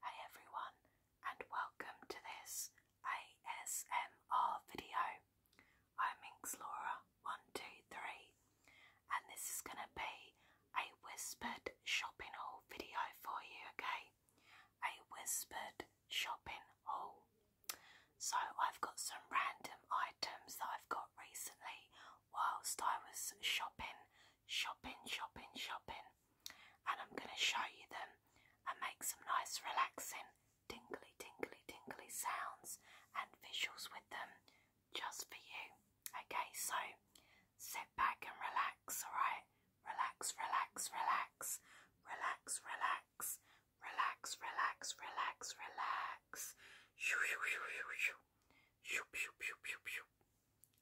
Hi everyone and welcome to this ASMR video. I'm Laura 123 and this is going to be a whispered shopping haul video for you, okay? A whispered shopping haul. So I've got some random items that I've got recently whilst I was shopping, shopping, shopping, shopping. And I'm going to show you them and make some nice, relaxing, tingly, tingly, tingly sounds and visuals with them just for you. Okay, so sit back and relax, alright? Relax, relax, relax, relax, relax, relax, relax, relax, relax. Shoo, shoo, shoo, shoo, shoo.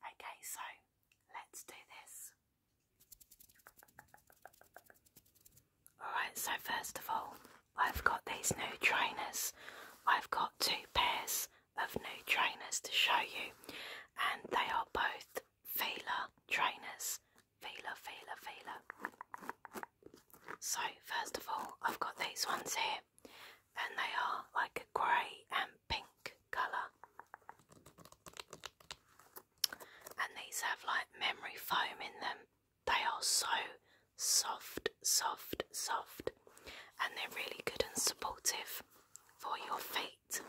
Okay, so let's do this. Alright, so first of all, I've got these new trainers. I've got two pairs of new trainers to show you, and they are both Fila trainers. Fila, Fila, Fila. So, first of all, I've got these ones here, and they are like a grey and pink colour. And these have like memory foam in them. They are so soft, soft, soft, and they're really good and supportive for your feet.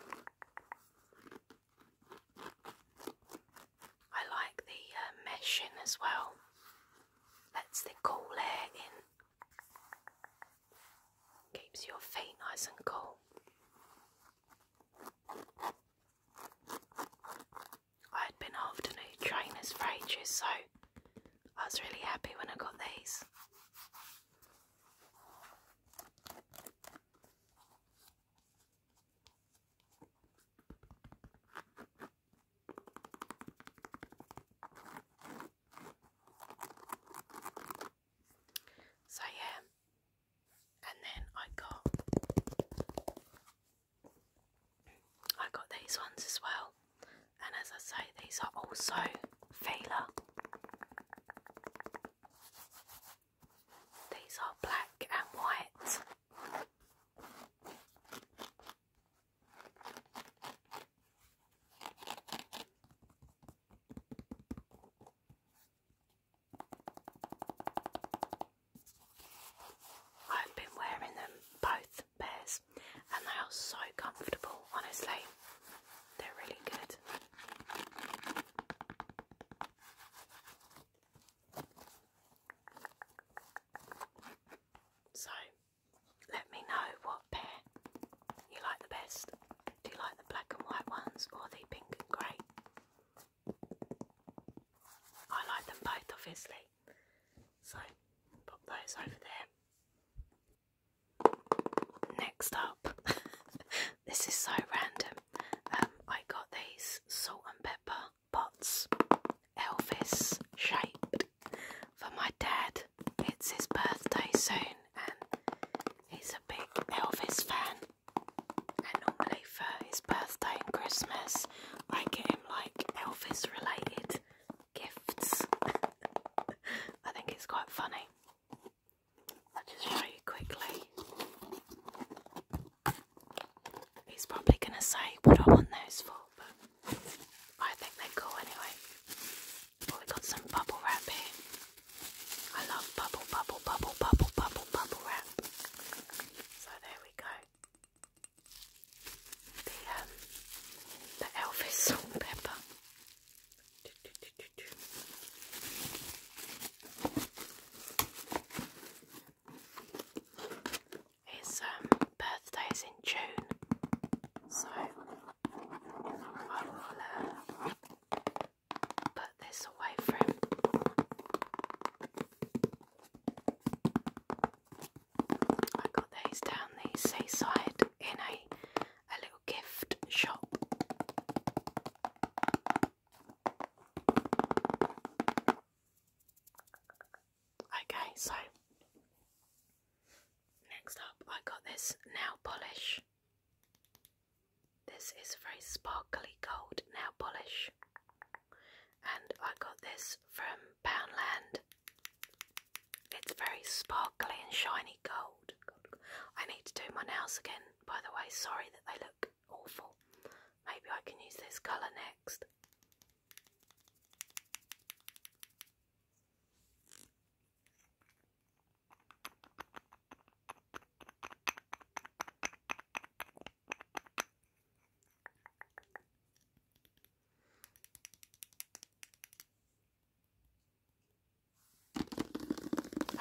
I like the uh, mesh in as well. Lets the cool air in. Keeps your feet nice and cool. I had been after new trainers for ages, so I was really happy when I got these. So yeah, and then I got I got these ones as well, and as I say, these are also Fila. These are black and white. I've been wearing them both pairs and they are so comfortable, honestly. They're really good. So let me know what pair you like the best. Do you like the black and white ones or the pink and grey? I like them both, obviously. So, pop those over there. Next up, this is so random. Um, I got these salt and pepper pots, Elvis shaped for my dad. It's his birthday soon, and he's a big Elvis fan. And normally for his birthday and Christmas, I get him like Elvis related gifts. I think it's quite funny. I'll just show you quickly. He's probably going to say what I want those for, but I think they're cool anyway. Well, we got some bubble wrap here. I love bubble, bubble, bubble, bubble, bubble, bubble wrap. So there we go. The um, the Elvis salt pepper. Is um birthday is in June, so I will uh, put this away for I got these down the seaside in a a little gift shop. Okay, so Next up, I got this nail polish. This is very sparkly gold nail polish, and I got this from Poundland. It's very sparkly and shiny gold. I need to do my nails again, by the way. Sorry that they look awful. Maybe I can use this colour next.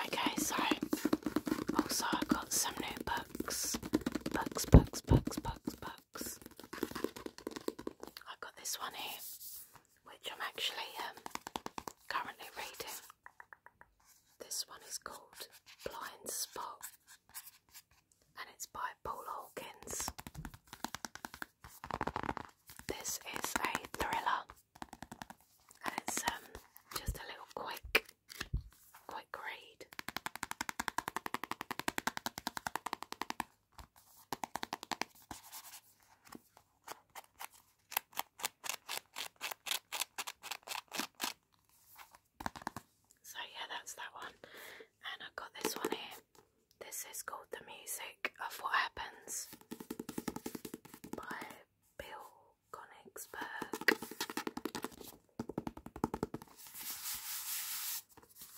Okay, so also I got some new Books, books, books, books, books. I got this one here which I'm actually um, currently reading. This one is called Blind Spot and it's by Paul Hawkins. This is a thriller and it's um, just a little quick, quick read. So yeah, that's that one. And i got this one here. This is called The Music of What Happens by Bill Konigsberg.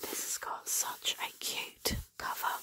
This has got such a cute cover.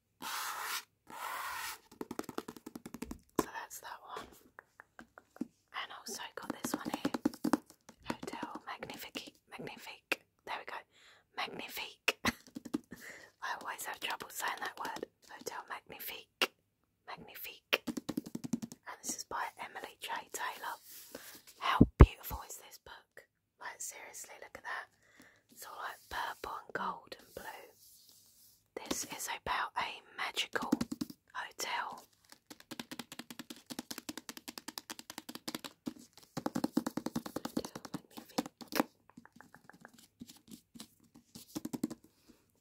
So that's that one. And also got this one here. Hotel Magnifique. Magnifique. There we go. Magnifique. I always have trouble saying that word. Hotel Magnifique. Magnifique. And this is by Emily J. Taylor. How beautiful is this book? Like seriously, look at that. It's all like purple and gold and blue. This is about a magical hotel.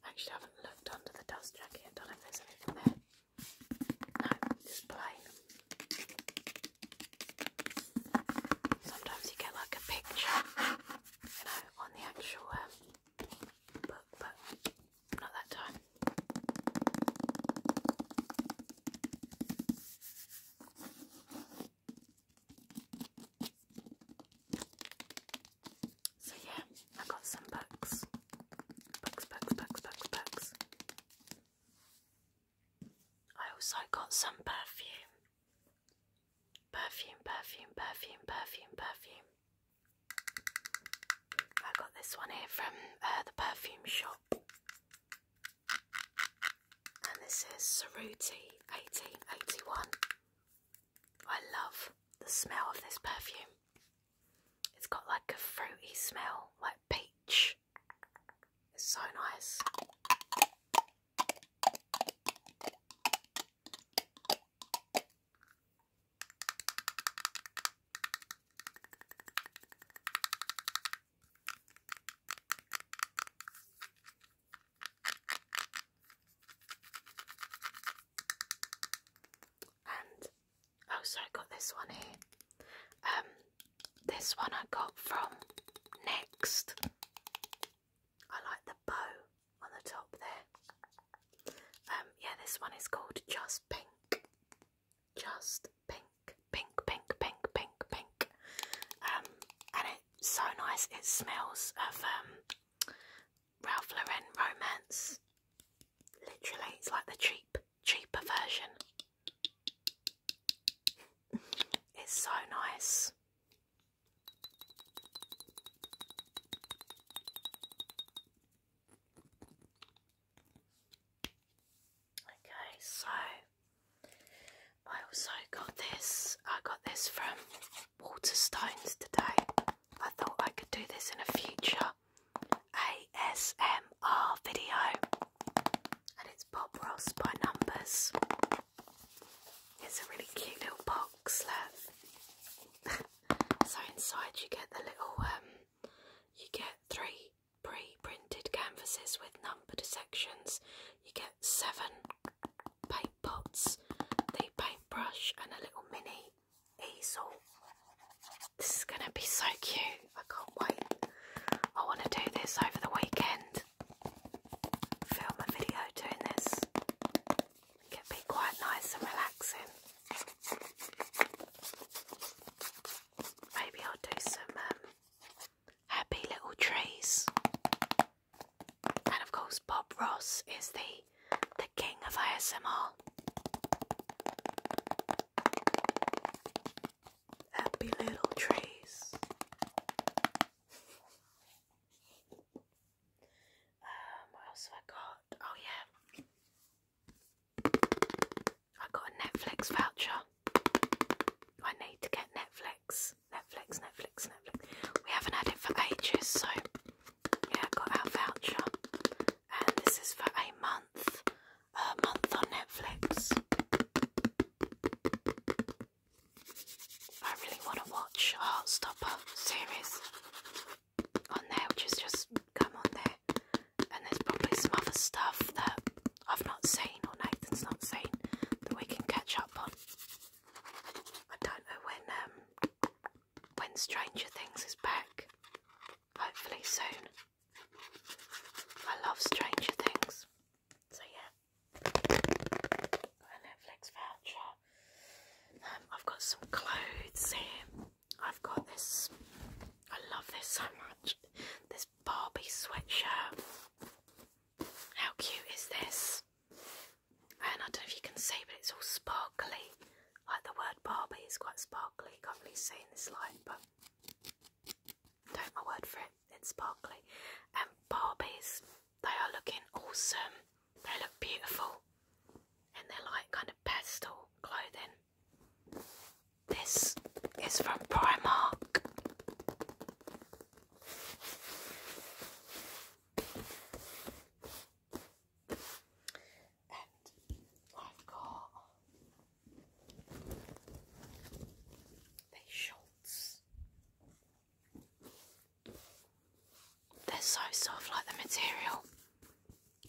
Actually, I haven't looked under the dust jacket. don't know anything there. No, it's plain. Sometimes you get like a picture, you know, on the actual um, book, but not that time. So yeah, I got some books. Books, books, books, books, books. I also got some perfume. Perfume, perfume, perfume, perfume, perfume. I got this one here from uh, the perfume shop. And this is Ceruti 1881. I love the smell of this perfume. It's got like a fruity smell, like peach. It's so nice. And oh, sorry, I got this one here. Um this one I got from Next. I like the bow on the top there. Um, yeah, this one is called Just Pink. Just Pink, pink, pink, pink, pink, pink. Um, and it's so nice. It smells of um, Ralph Lauren Romance. Literally, it's like the cheap, cheaper version. It's so nice. Okay, so I also got this. I got this from Waterstones today. I thought I could do this in a future ASMR video, and it's Bob Ross by Numbers. It's a really cute little box. so inside you get the little, um, you get three pre-printed canvases with numbered sections. You get seven paint pots, the paintbrush and a little mini easel. This is going to be so cute. I can't wait. I want to do this over the weekend. Film a video doing this can be quite nice and relaxing. Maybe I'll do some um, happy little trees. And of course, Bob Ross is the the king of ASMR. Happy little trees. Um, what else have I got? Oh yeah, I got a Netflix voucher. I need to get Netflix, Netflix, Netflix, Netflix. We haven't had it for ages, so yeah, got our voucher, and this is for a month, a month on Netflix. I really want to watch Heartstopper series on there, which is just come on there. And there's probably some other stuff that I've not seen or Nathan's not seen that we can catch up on. I don't know when um, when Stranger Things is back. Hopefully soon. I love Stranger Things. So yeah. Got Netflix voucher. Um, I've got some clothes here. I've got this. I love this so much. This Barbie sweatshirt. How cute is this? And I don't know if you can see, but it's all sparkly. Like the word Barbie is quite sparkly. Can't really see in this light, but don't my word for it. It's sparkly. And Barbies they are looking awesome. They look beautiful. And they're like kind of pastel clothing. This is from Primark. And I've got these shorts. They're so soft, like the material.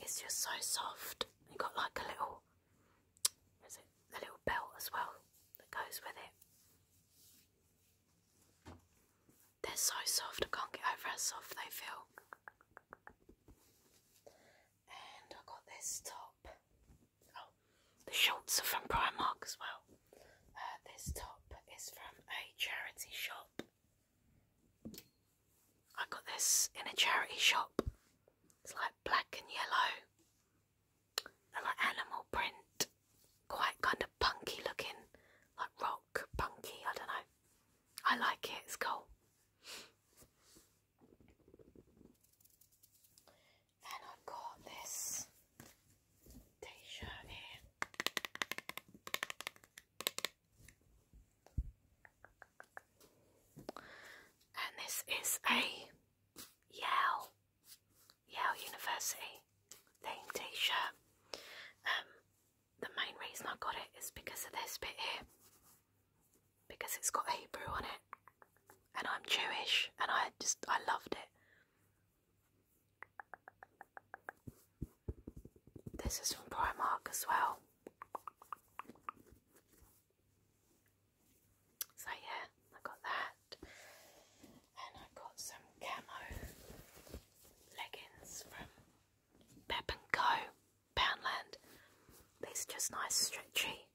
It's just so soft. You got like a little, is it a little belt as well that goes with it? They're so soft. I can't get over how soft they feel. And I got this top. Oh, the shorts are from Primark as well. Uh, this top is from a charity shop. I got this in a charity shop. It's like black and yellow. they like animal print. Quite kind of punky looking. Like rock punky, I don't know. I like it, it's cool. Then I've got this t shirt here. And this is a Yale, Yale University themed t-shirt. Um, the main reason I got it is because of this bit here. Because it's got Hebrew on it. And I'm Jewish and I just, I loved it. This is from Primark as well. So yeah, I got that. And I got some camo leggings from Pep and Co. Poundland. These are just nice stretchy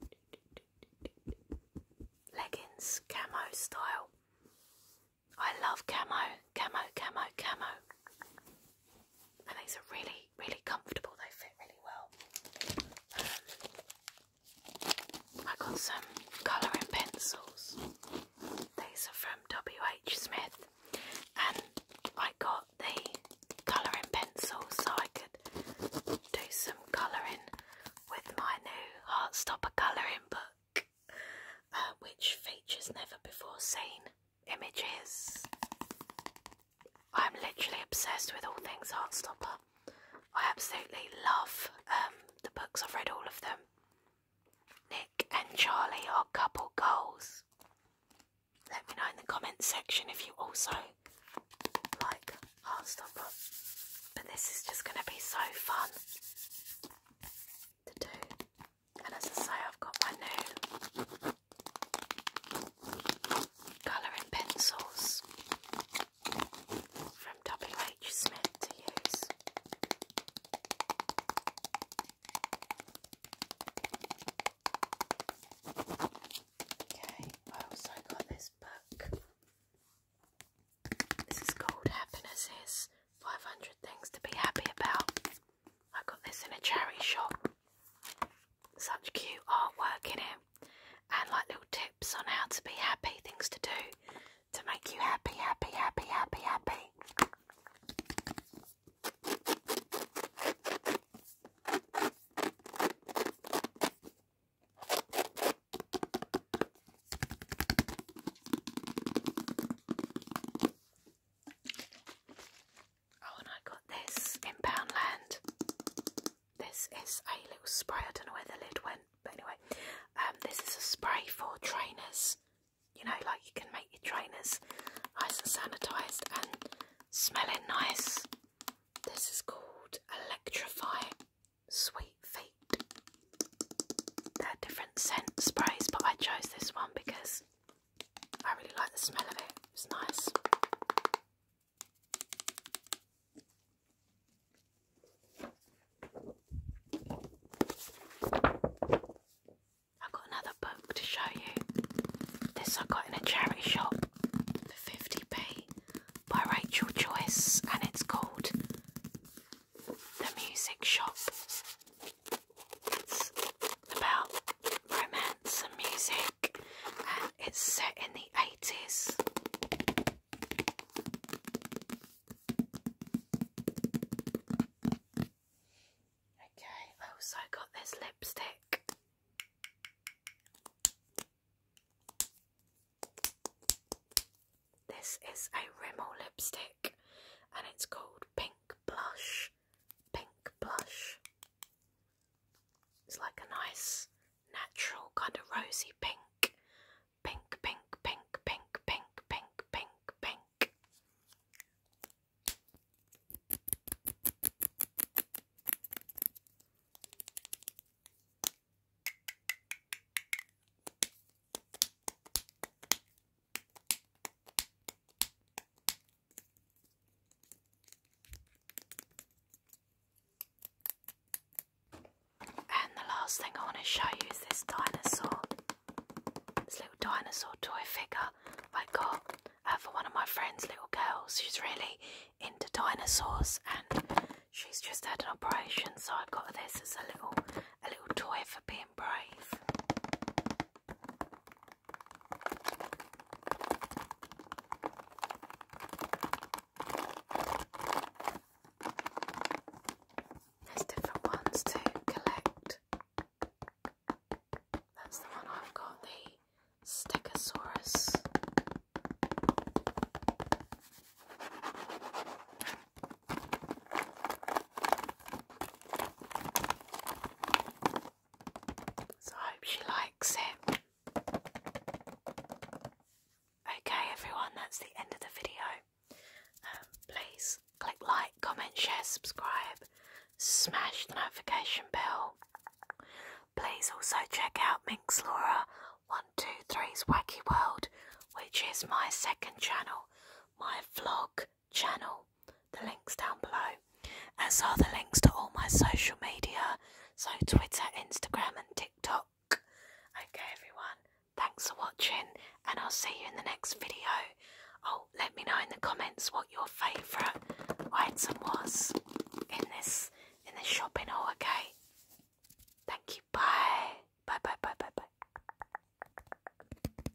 leggings, camo style. I love camo, camo, camo, camo. And these are really, really comfortable. They fit really well. Um, I got some colouring pencils. These are from WH Smith. And I got the colouring pencils so I could do some colouring with my new Heartstopper colouring book. Uh, which features never before seen images. I'm literally obsessed with all things Heartstopper. I absolutely love um, the books, I've read all of them. Nick and Charlie are couple goals. Let me know in the comments section if you also like Heartstopper. But this is just going to be so fun to do. And as I say, I've got my new colouring pencils from WH Smith to use. Okay, I got this book. This is called Happiness 500 Things to Be Happy About. I got this in a charity shop. Such cute artwork in it, and like little tips on how to be happy, things to do to make you happy, happy, happy, happy, happy. Oh, and I got this in Poundland. This is a little spray. I don't know where the lid went, but anyway, um, this is a spray for trainers. You know, like you can make your trainers nice and sanitised and smelling nice. This is called Electrify Sweet Feet. They're different scent sprays, but I chose this one because I really like the smell of it, it's nice. I've got another book to show you. This I got in a charity shop for 50p by Rachel Joyce and it's called The Music Shop. It's about romance and music, and it's set in the 80s. Okay, I got this lipstick. This is a Rimmel lipstick and it's called Pink Blush blush, pink blush. It's like a nice natural kind of rosy pink. Pink, pink, pink, pink, pink, pink, pink, pink. And the last thing I want to show you is this dinosaur. This little dinosaur toy figure I got uh, for one of my friends' little girls. She's really into dinosaurs and she's just had an operation, so I have got this as a little a little toy for being brave. There's different ones to collect. That's the one I've got, the Stegosaurus. So I hope she likes it. Okay, everyone, that's the end of the video. Um, please click like, comment, share, subscribe, smash the notification bell. Please also check out Minx Laura 123's Wacky World, which is my second channel, my vlog channel. The links down below, as are the links to all my social media, so Twitter, Instagram, and TikTok. Okay, everyone, thanks for watching, and I'll see you in the next video. Oh, let me know in the comments what your favourite item was in this in this shopping haul. Okay, thank you. Bye. Bye. Bye. Bye. Bye. Bye.